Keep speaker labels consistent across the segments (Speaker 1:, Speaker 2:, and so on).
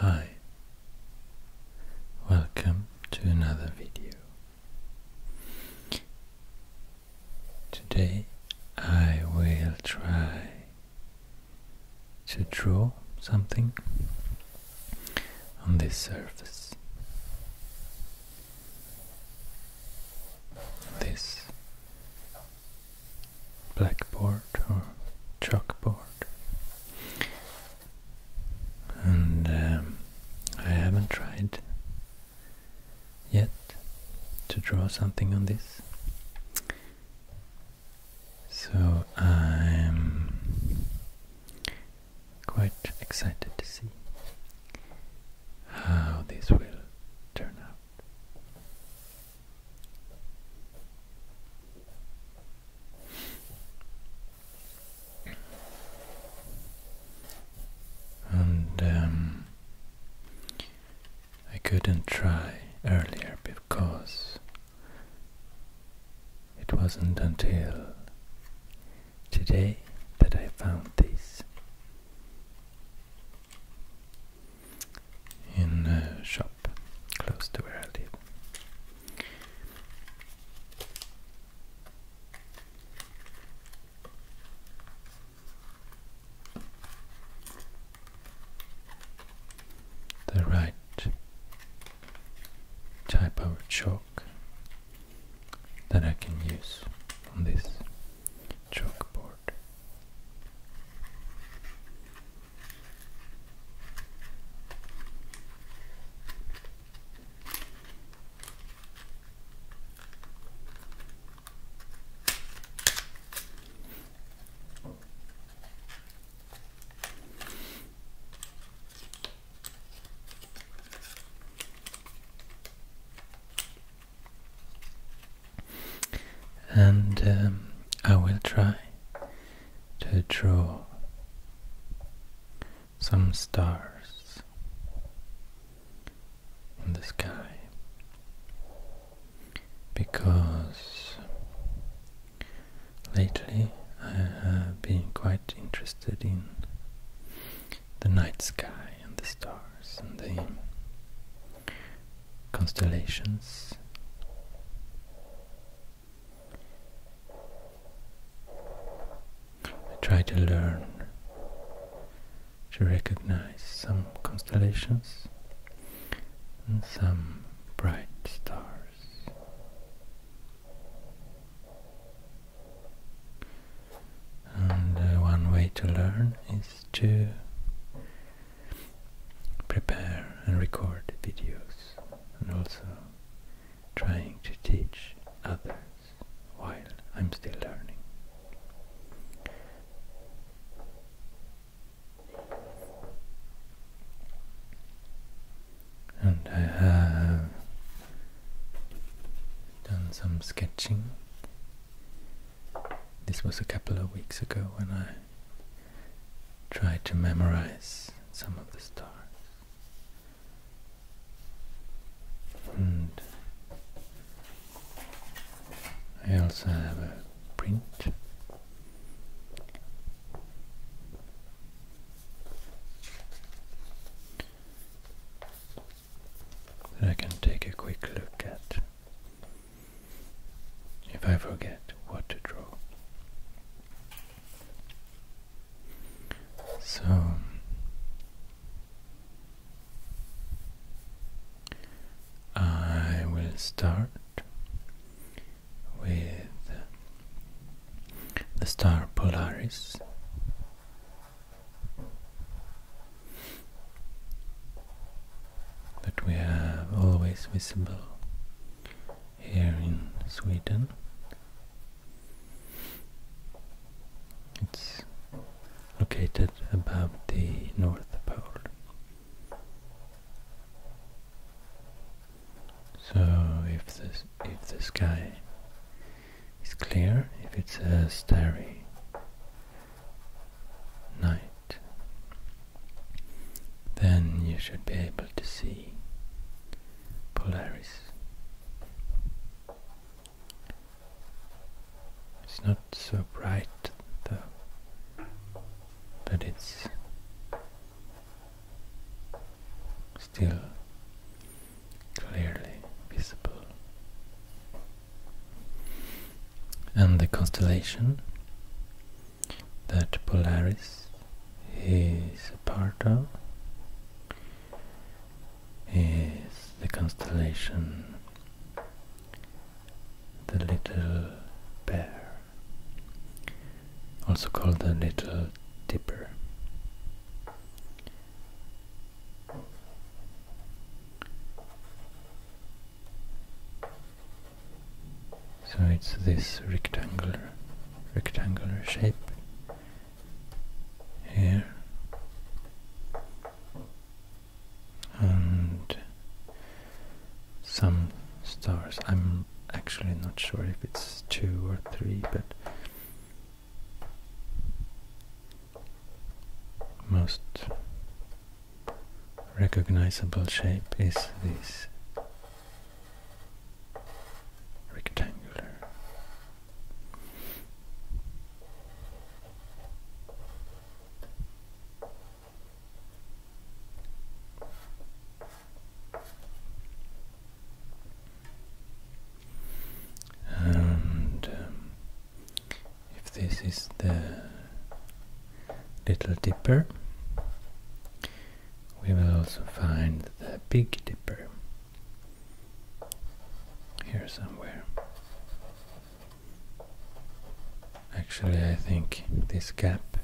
Speaker 1: Hi, welcome to another video. Today I will try to draw something on this surface. This blackboard or chalkboard. And um, I haven't tried yet to draw something on this. So I'm quite excited to see how this will turn out and um, I couldn't try earlier because it wasn't until today that I found this in a shop close to where I live the right type of chalk that I can use on this chalkboard. And um, I will try to draw some stars in the sky because lately I have been quite interested in the night sky and the stars and the constellations. I try to learn to recognize some constellations and some bright stars. And uh, one way to learn is to prepare and record videos and also trying to teach others while I'm still learning. And I have done some sketching. This was a couple of weeks ago when I tried to memorize some of the stars. And I also have a print. That I can take a quick look at if I forget what to draw. So I will start with the star Polaris. That we have always visible here in Sweden. It's located above the North Pole. So if the if the sky is clear, if it's a starry night, then you should be able to see Polaris. It's not so bright though, but it's still clearly visible. And the constellation that Polaris is a part of is the constellation the Little Bear, also called the Little Dipper. So it's this rectangular rectangular shape here and some stars. I'm actually not sure if it's two or three, but most recognizable shape is this rectangular and um, if this is the Little Dipper, we will also find the Big Dipper here somewhere. Actually, I think this gap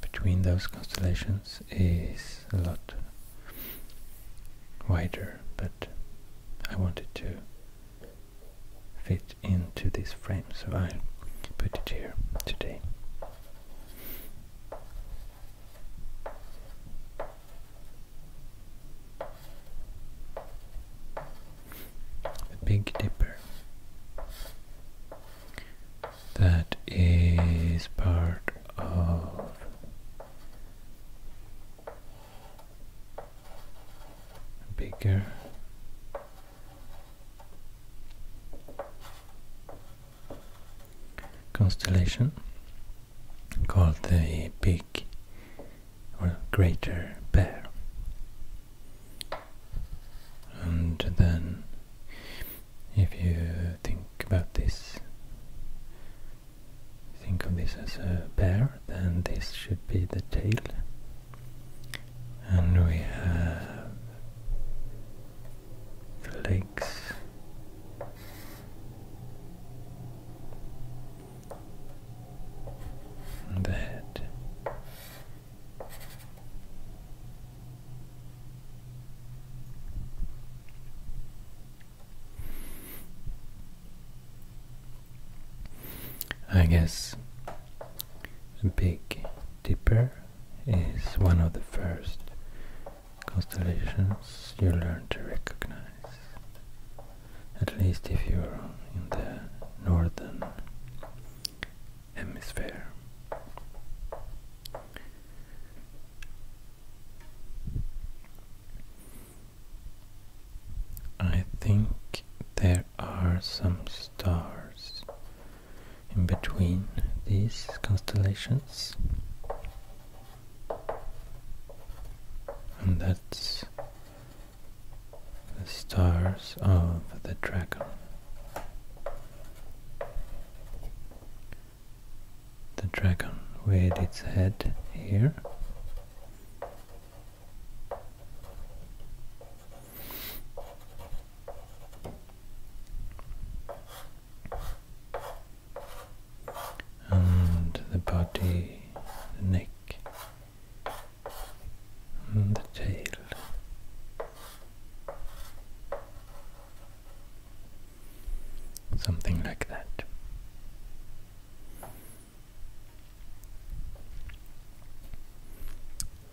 Speaker 1: between those constellations is a lot wider, but I wanted to fit into this frame, so I will put it here today the Big Dipper. That is part of a bigger constellation called the Big or greater bear. And then, if you think about this, think of this as a bear, then this should be the tail. And we have the legs and I guess Big Dipper is one of the first constellations you learn to recognize at least if you're in the northern hemisphere. I think there are some stars in between these constellations. And that's the stars of the dragon. The dragon with its head here. and the body, the neck, and mm, the tail. Something like that.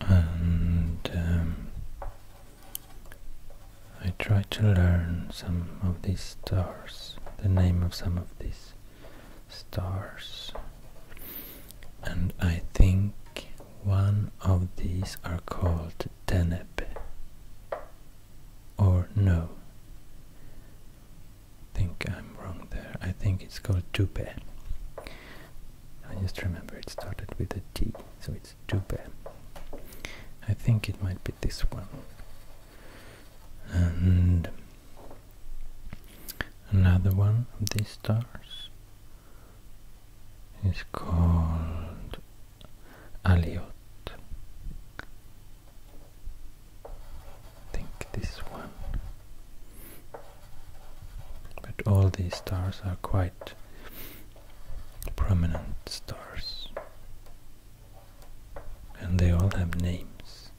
Speaker 1: And um, I try to learn some of these stars, the name of some of these stars and I think one of these are called Deneb or no I think I'm wrong there I think it's called Dupe I just remember it started with a T so it's Dupe I think it might be this one and Another one of these stars is called Aliot. think this one. But all these stars are quite prominent stars and they all have names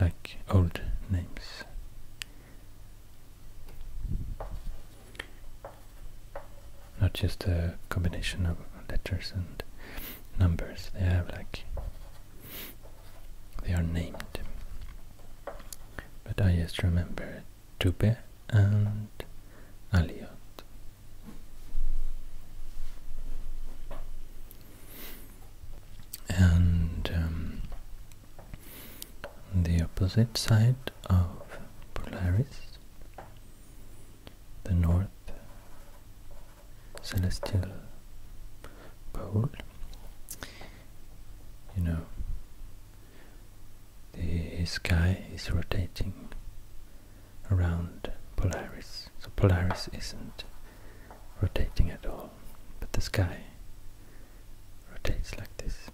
Speaker 1: like old names. Not just a combination of letters and numbers, they have like they are named. But I just remember Tube and Aliot and um, the opposite side of Polaris, the north celestial pole, you know, the sky is rotating around Polaris. So Polaris isn't rotating at all, but the sky rotates like this.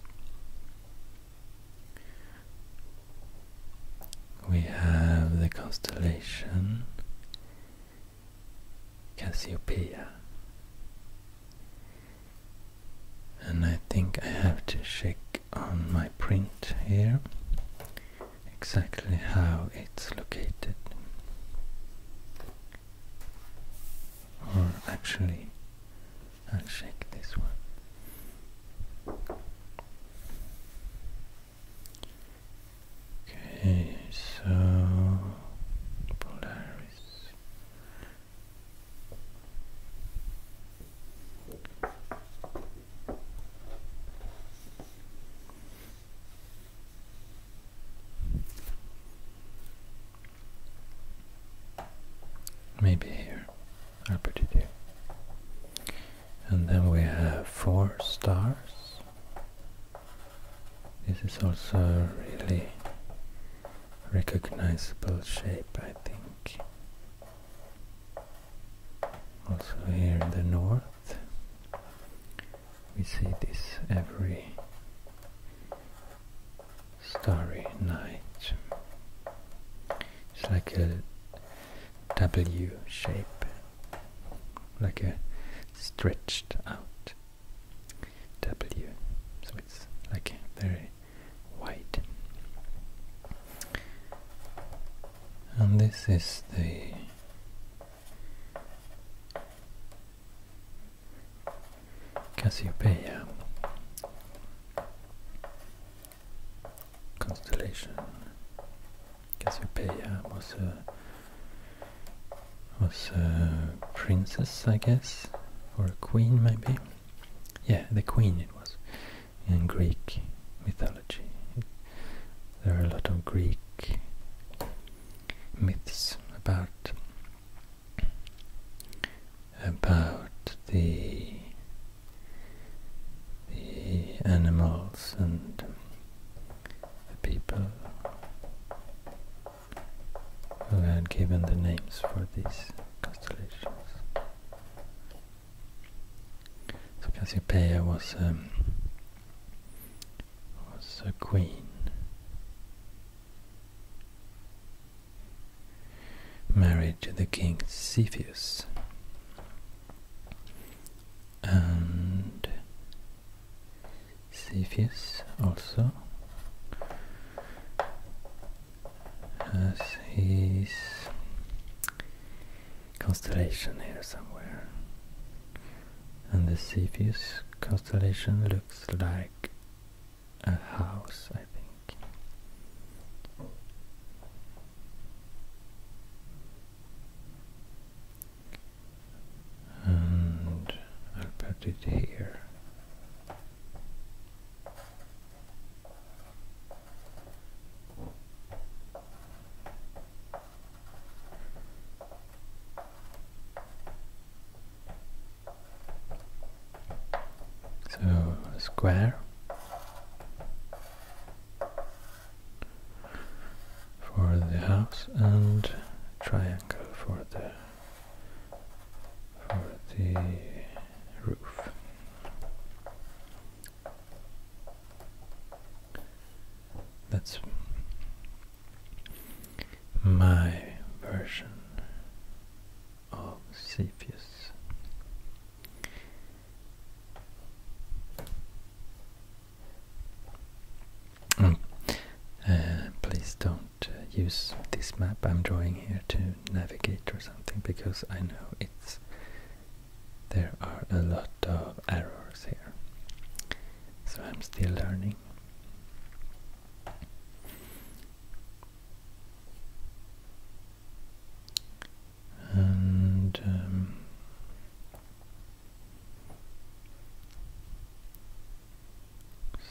Speaker 1: We have the constellation Cassiopeia. And I think I have to check on my print here exactly how it's located or actually I'll check this one okay so Polaris Maybe here. I'll put it here. And then we have four stars. This is also a really recognizable shape, I think. Also here in the north we see this every starry night. It's like a W shape, like a stretched out W. So it's like very wide. And this is the Cassiopeia constellation. Cassiopeia was a was a princess, I guess, or a queen maybe. Yeah, the queen it was in Greek mythology. There are a lot of Greek myths about about the the animals and the people who had given the names for these constellations. So Cassiopeia was um, was a queen. Married to the king Cepheus, and Cepheus also has his constellation here somewhere. And the Cepheus constellation looks like a house, I think. And i put it here. So square for the house and triangle for the for the roof. That's my version of Cepheus. Mm. Uh, please don't uh, use this map I'm drawing here to navigate or something because I know it's there are a lot of errors here so I'm still learning. And um,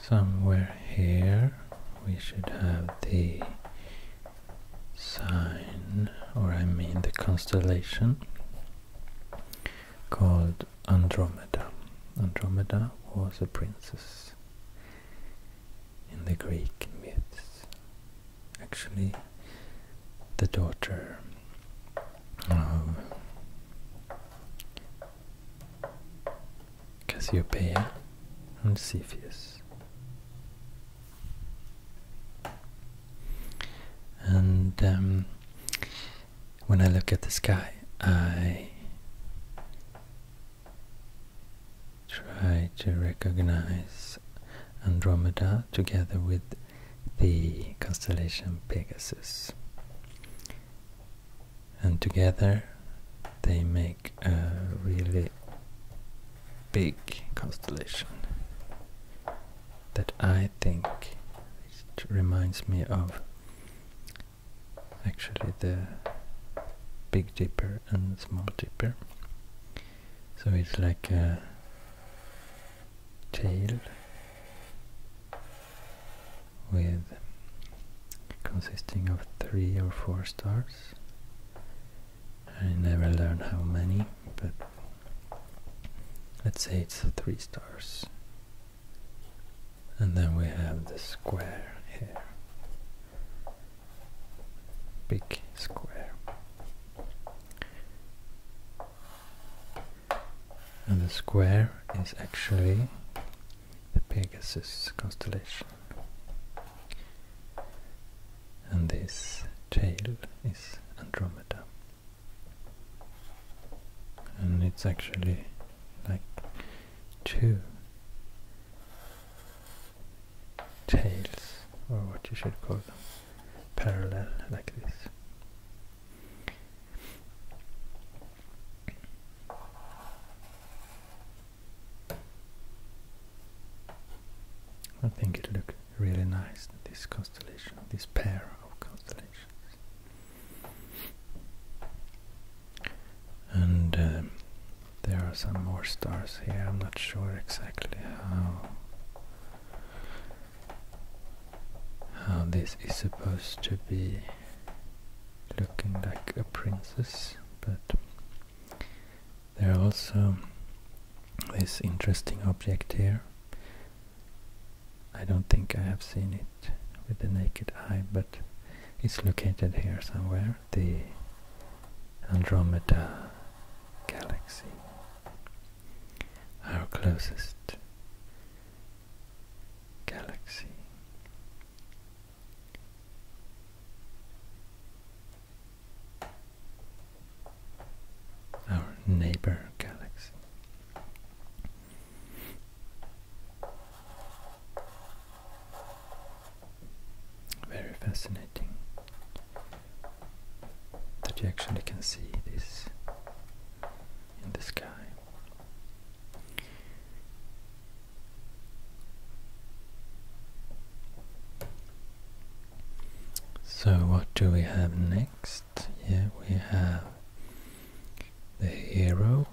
Speaker 1: somewhere here we should have the sign, or I mean the constellation called Andromeda. Andromeda was a princess in the Greek myths. Actually, the daughter of Cassiopeia and Cepheus. And um, when I look at the sky, I try to recognize Andromeda together with the constellation Pegasus. And together they make a really big constellation that I think it reminds me of actually the Big Dipper and Small Dipper. So it's like a tail with consisting of three or four stars. I never learned how many, but Let's say it's three stars. And then we have the square here. Big square. And the square is actually the Pegasus constellation. And this tail is Andromeda and it's actually like two tails or what you should call them parallel like this I think it looks really nice this constellation this pair of constellations and uh, there are some more stars here. I'm not sure exactly how how this is supposed to be looking like a princess, but there are also this interesting object here I don't think I have seen it with the naked eye, but it's located here somewhere, the Andromeda galaxy, our closest galaxy. Our neighbor galaxy. Very fascinating that you actually can see this in the sky. So, what do we have next? Yeah, we have the hero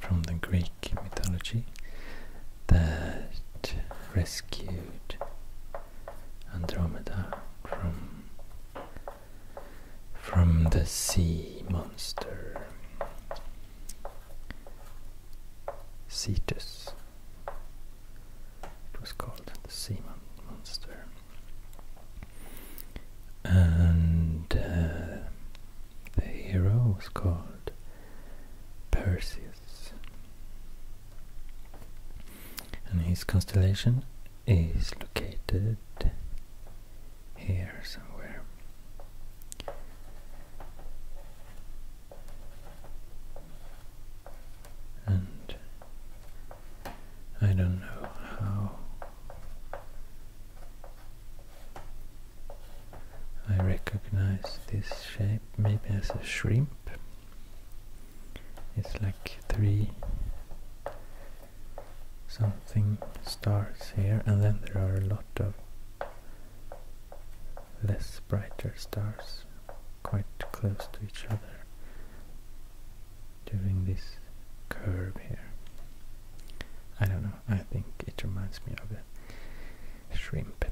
Speaker 1: from the Greek mythology that rescued Andromeda from from the sea monster Cetus. It was called the sea monster and uh, the hero was called Perseus, and his constellation is located here somewhere and I don't know how I recognize this shape maybe as a shrimp. It's like three something stars here and then there are a lot of less brighter stars quite close to each other during this curve here. I don't know, I think it reminds me of a shrimp.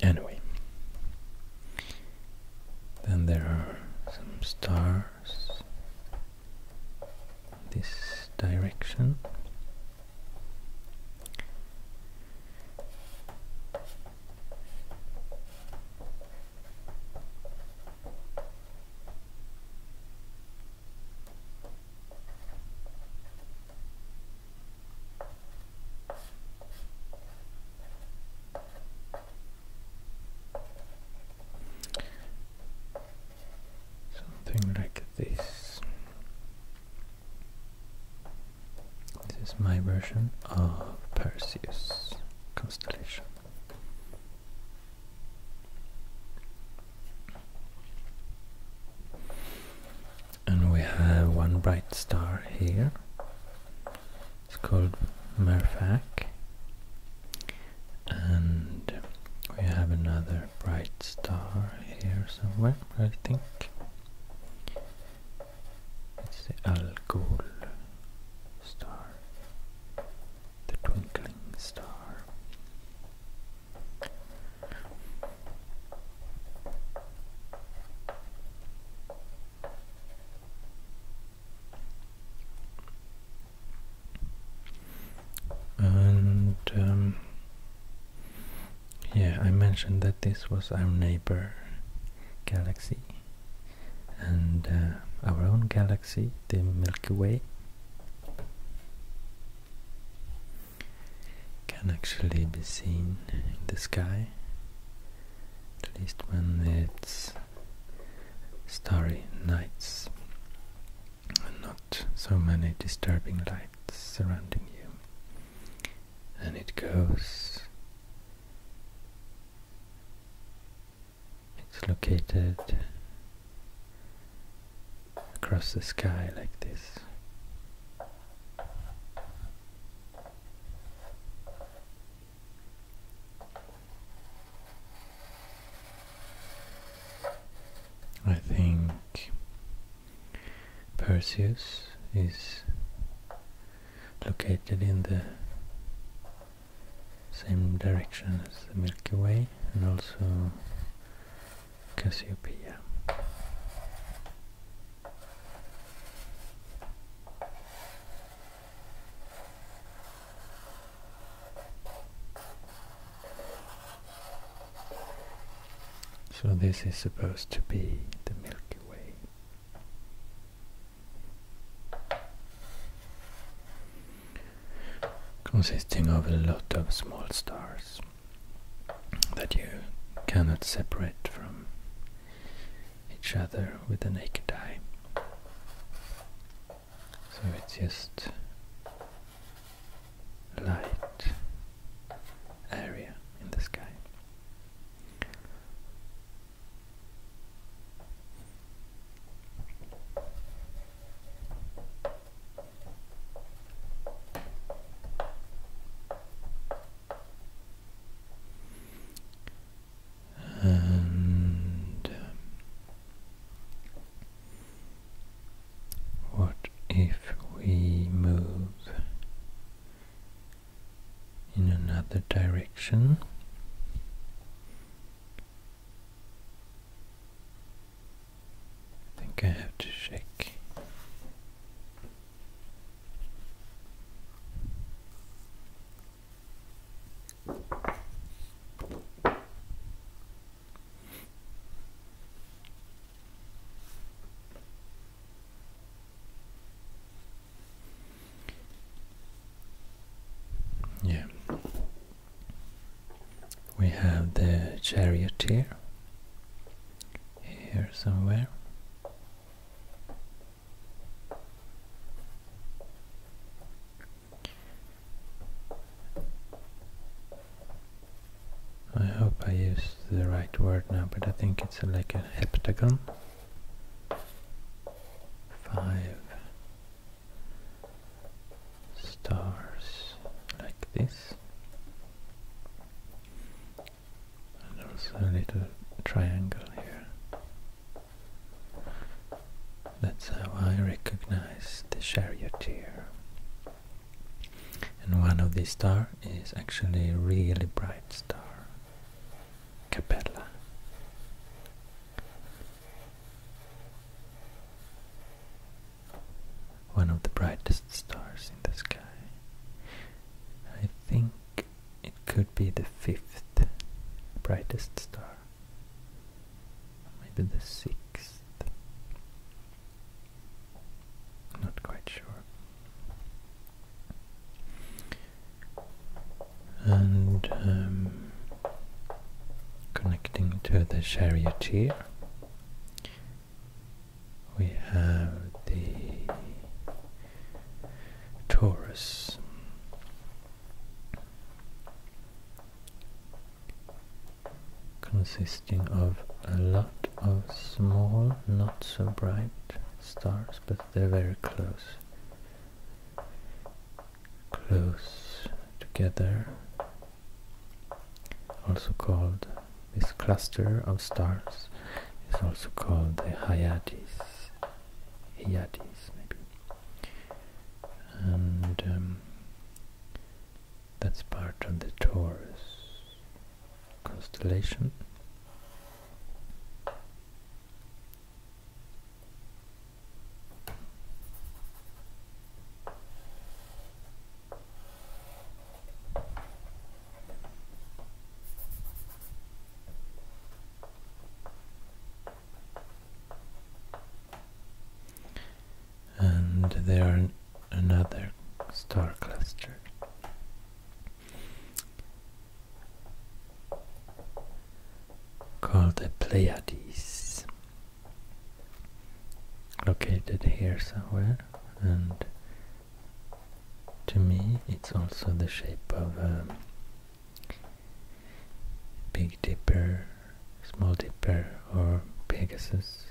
Speaker 1: Anyway, then there are some stars this direction. Something like this. This is my version of Perseus constellation. And we have one bright star here. It's called Merfak. And we have another bright star here somewhere, I think. It's the Algol star the twinkling star. And um, yeah, I mentioned that this was our neighbor galaxy and uh, our own galaxy, the Milky Way, can actually be seen in the sky, at least when it's starry nights and not so many disturbing lights surrounding you. And it goes it's located across the sky like this. I think Perseus is located in the same direction as the Milky Way and also Cassiopeia. So this is supposed to be the Milky Way consisting of a lot of small stars that you cannot separate from each other with the naked eye. So it's just light area in the sky. And um, what if we move in another direction? I think I have to shake. Yeah. We have the chariot here Here somewhere. I hope I used the right word now, but I think it's like a heptagon. Five, stars like this and also a little triangle here that's how I recognize the charioteer and one of these stars is actually a really bright star Capella one of the brightest stars in the sky. I think it could be the fifth brightest star. Maybe the sixth. Not quite sure and um, connecting to the charioteer we have the Taurus consisting of a lot of small, not so bright stars, but they're very close close together, also called this cluster of stars is also called the Hyades, Hyades maybe, and um, that's part of the Taurus constellation and there are another star cluster called the Pleiades, located here somewhere, and to me it's also the shape of a Big Dipper, Small Dipper, or Pegasus.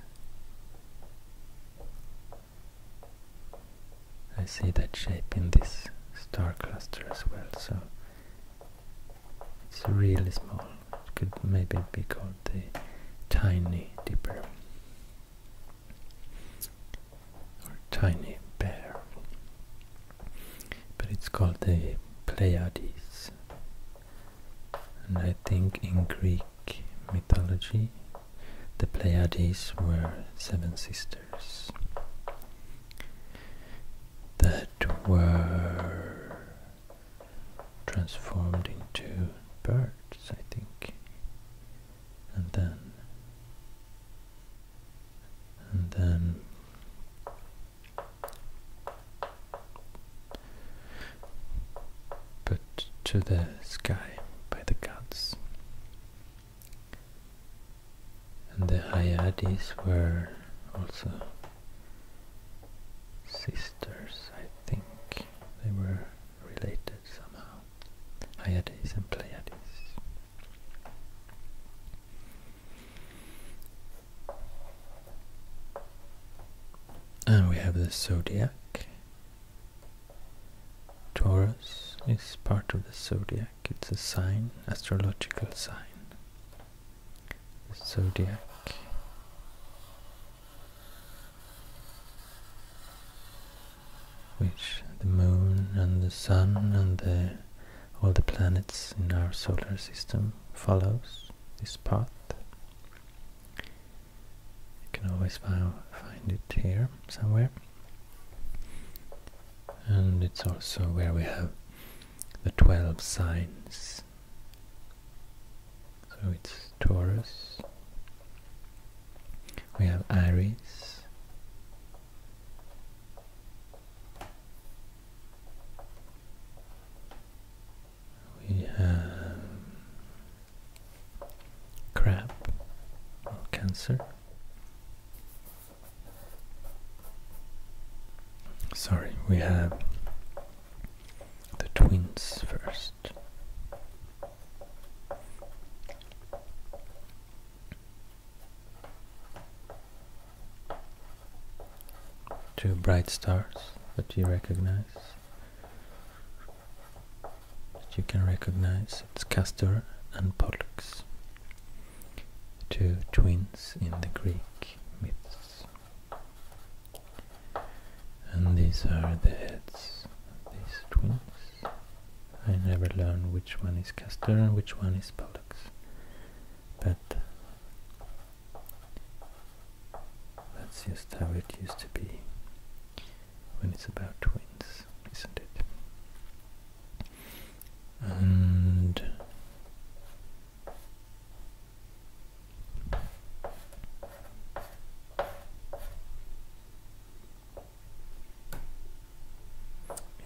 Speaker 1: I see that shape in this star cluster as well, so it's really small. It could maybe be called the tiny dipper or tiny bear. But it's called the Pleiades. And I think in Greek mythology the Pleiades were seven sisters that were transformed into birds, I think. And then and then put to the sky by the gods. And the Hyades were also sisters, I think they were related somehow, Hyades and Pleiades. And we have the zodiac. Taurus is part of the zodiac, it's a sign, astrological sign. The zodiac. Which the moon and the sun and all the planets in our solar system follows this path. You can always find it here somewhere. And it's also where we have the 12 signs so it's Taurus. We have Aries. We have crab cancer. Sorry, we have the twins first. Two bright stars that you recognize. That you can recognize. It's Castor and Pollux. Two twins in the Greek myths. And these are the heads of these twins. I never learned which one is Castor and which one is Pollux. But that's just how it used to be when it's about twins, isn't it? And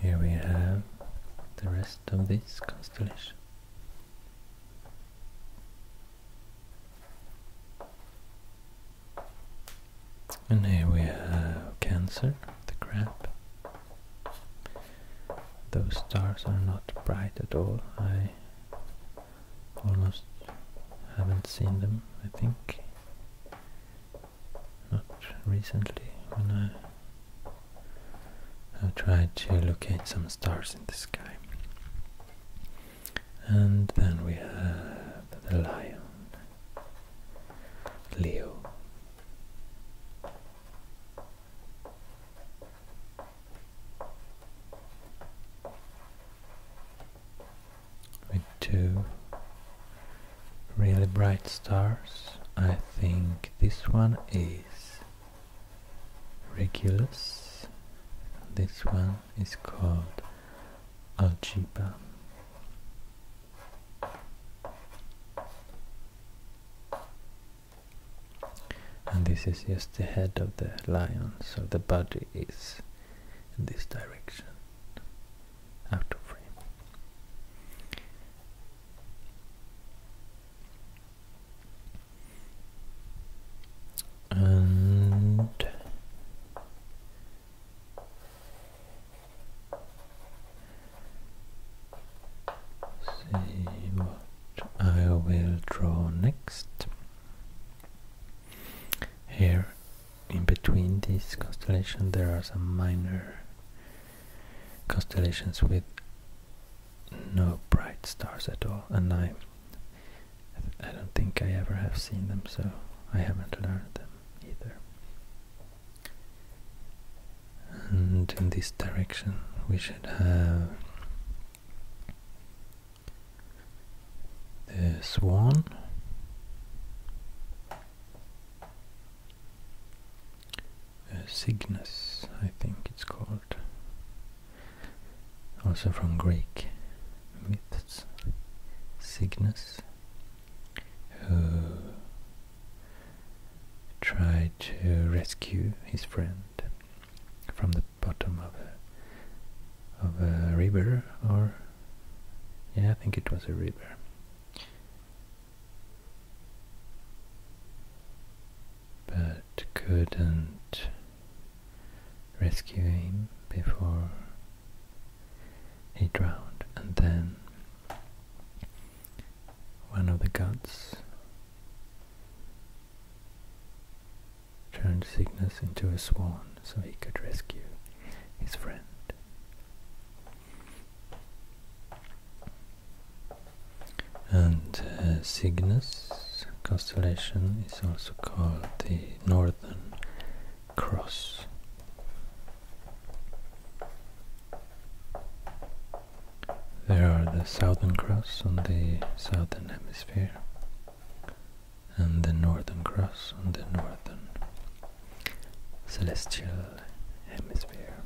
Speaker 1: here we have the rest of this constellation. And here we have Cancer, the crab those stars are not bright at all. I almost haven't seen them, I think. Not recently, when I, I tried to locate some stars in the sky. And then we have the lion, Leo with two really bright stars. I think this one is Regulus, this one is called Alciba and this is just the head of the lion so the body is in this direction out of frame and see I will draw next. Here in between these constellations there are some minor constellations with no bright stars at all and I I don't think I ever have seen them so I haven't learned them either. And in this direction we should have this one. Uh, Cygnus, I think it's called. Also from Greek myths. Cygnus, who tried to rescue his friend from the bottom of a of a river or yeah I think it was a river but couldn't rescue him before he drowned and then one of the gods turned Cygnus into a swan so he could rescue his friend. And uh, Cygnus constellation is also called the Northern Cross. There are the Southern Cross on the Southern Hemisphere and the Northern Cross on the Northern Celestial Hemisphere.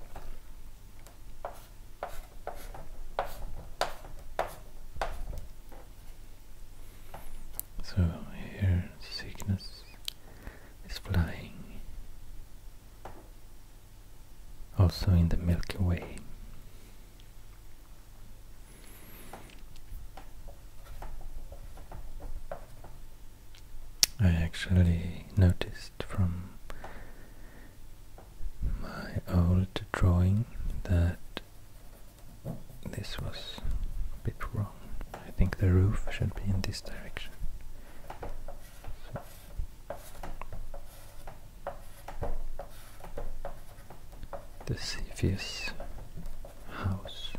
Speaker 1: So here sickness is flying also in the Milky Way. I actually noticed from my old drawing that this was a bit wrong. I think the roof should be in this direction the Cepheus house.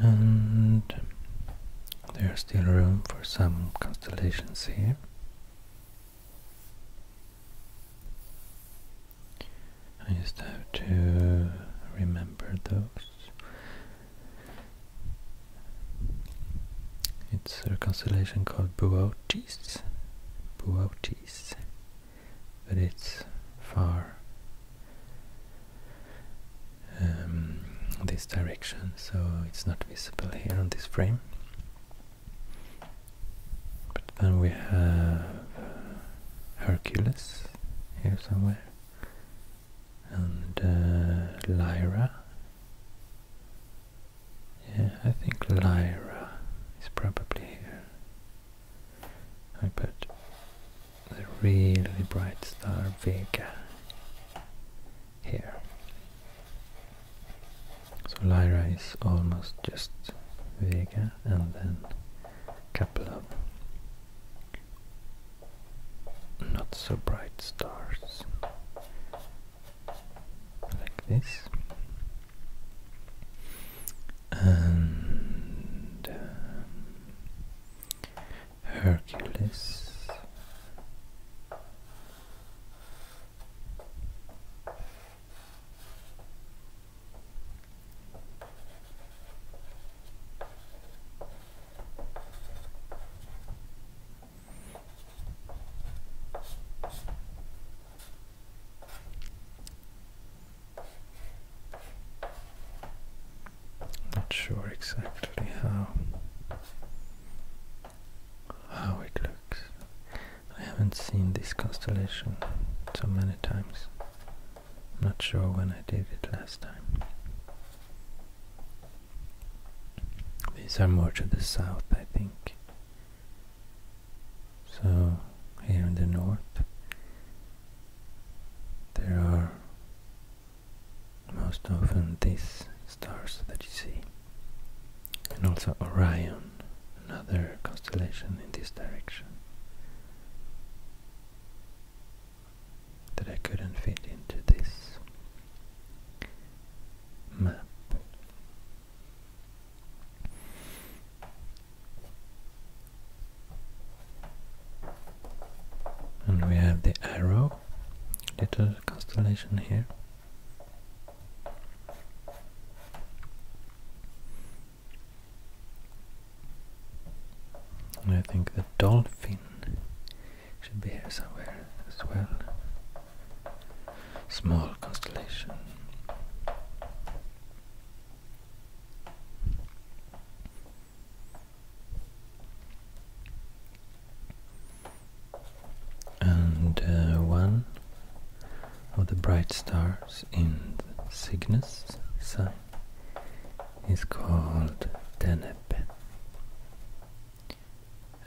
Speaker 1: And there's still room for some constellations here. I just have to remember those. It's a constellation called Boötes, Boötes, but it's far um, this direction, so it's not visible here on this frame. But then we have Hercules here somewhere, and uh, Lyra. Yeah, I think Lyra is probably here. I put the really bright star Vega here. So Lyra is almost just Vega and then a couple of not so bright stars like this and um, Hercules not sure exactly how how it looks. I haven't seen this constellation so many times. I'm not sure when I did it last time. These are more to the south, I think. So, here in the north, there are most often these stars that you see and also Orion, another constellation in this direction that I couldn't fit into this map. And we have the Arrow, little constellation here. And I think the dolphin should be here somewhere as well. Small constellation and uh, one of the bright stars in Cygnus is called Deneb.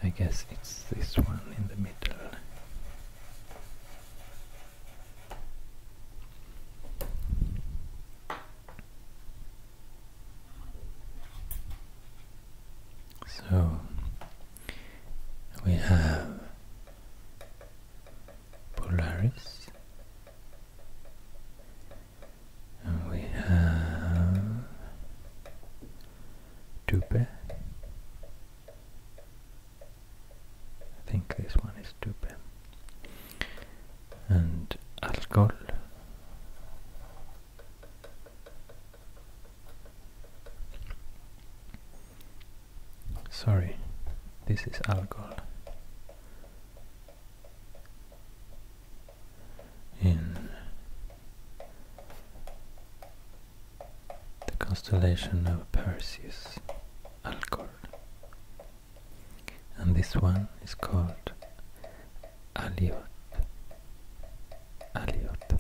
Speaker 1: I guess it's this one in the middle. So we have Polaris, and we have Tupe. I think this one is Tupe, and Algol. Sorry, this is Alcor In the constellation of Perseus, Alcor. And this one is called Aliot. Aliot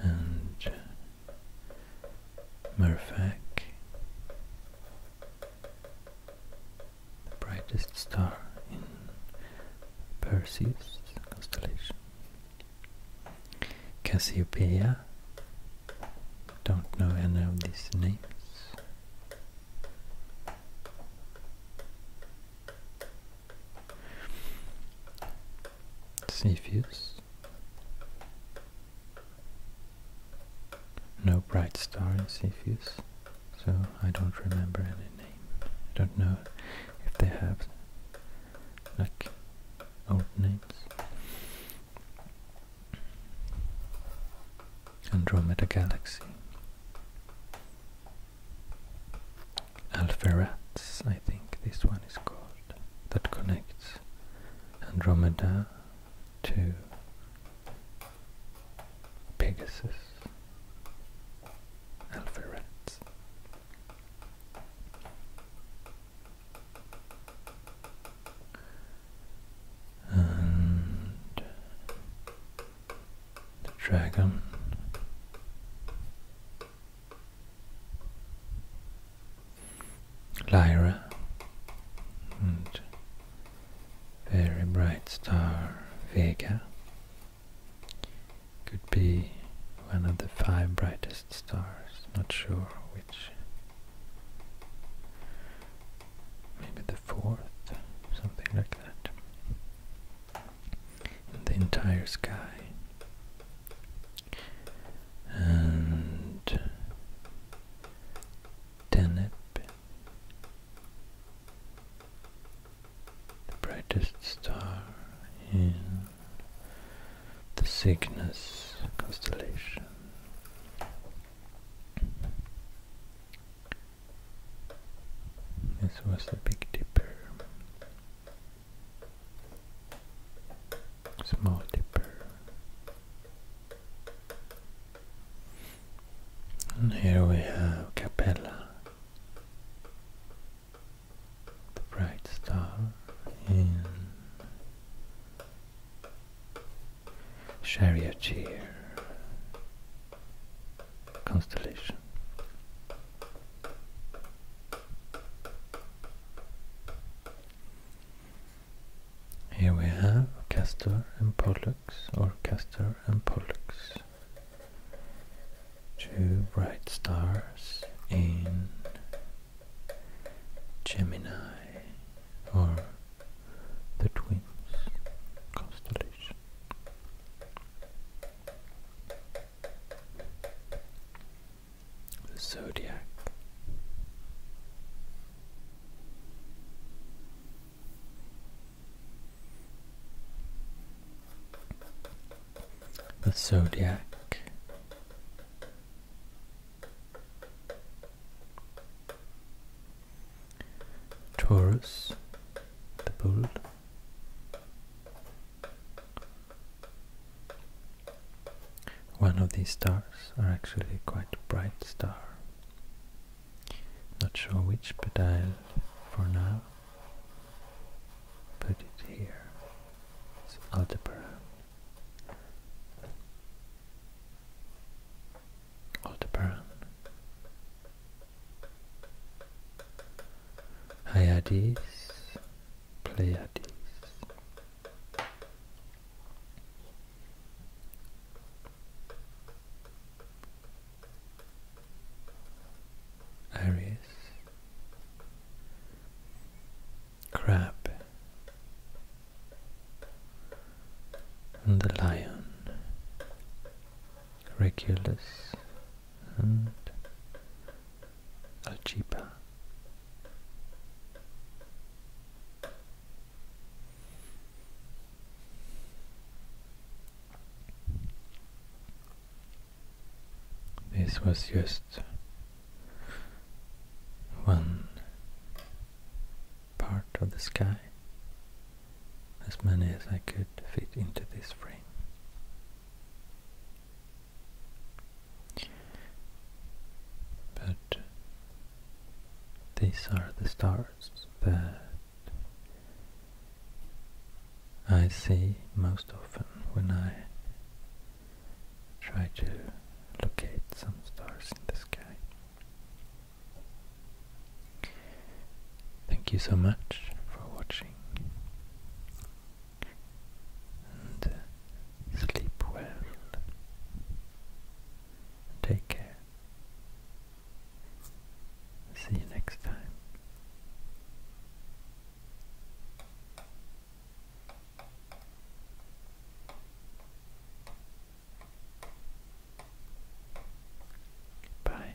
Speaker 1: and uh, Murfak, the brightest star in Perseus constellation. Cassiopeia, don't know any of these names. Cepheus. No bright star in Cepheus, so I don't remember any name. I don't know if they have like old names. Andromeda Galaxy. Alpherats, I think this one is called, that connects Andromeda to Pegasus. Alpherats. And the dragon Lyra and very bright star Vega could be one of the five brightest stars, not sure which maybe the fourth, something like that the entire sky. And Deneb, the brightest star in the Cygnus constellation. This was the Big Dipper. Small Dipper. And here we have Capella, the bright star in charioteer constellation. Here we have Castor and Pollux, or Castor and Pollux, two bright stars in Gemini, or the Twins constellation. The zodiac. The zodiac. Taurus, the bull. One of these stars are actually quite bright star. Not sure which, but I'll, for now, put it here. It's Aldebaran. Aldebaran. Hyades, Pleiades. Aries, Crab, and the Lion, Regulus and Arequipa. This was just one part of the sky, as many as I could fit into this frame. But these are the stars that I see most often when I try to locate some stars in the sky. Thank you so much for watching uh, sleep well. Take care. See you next time. Bye.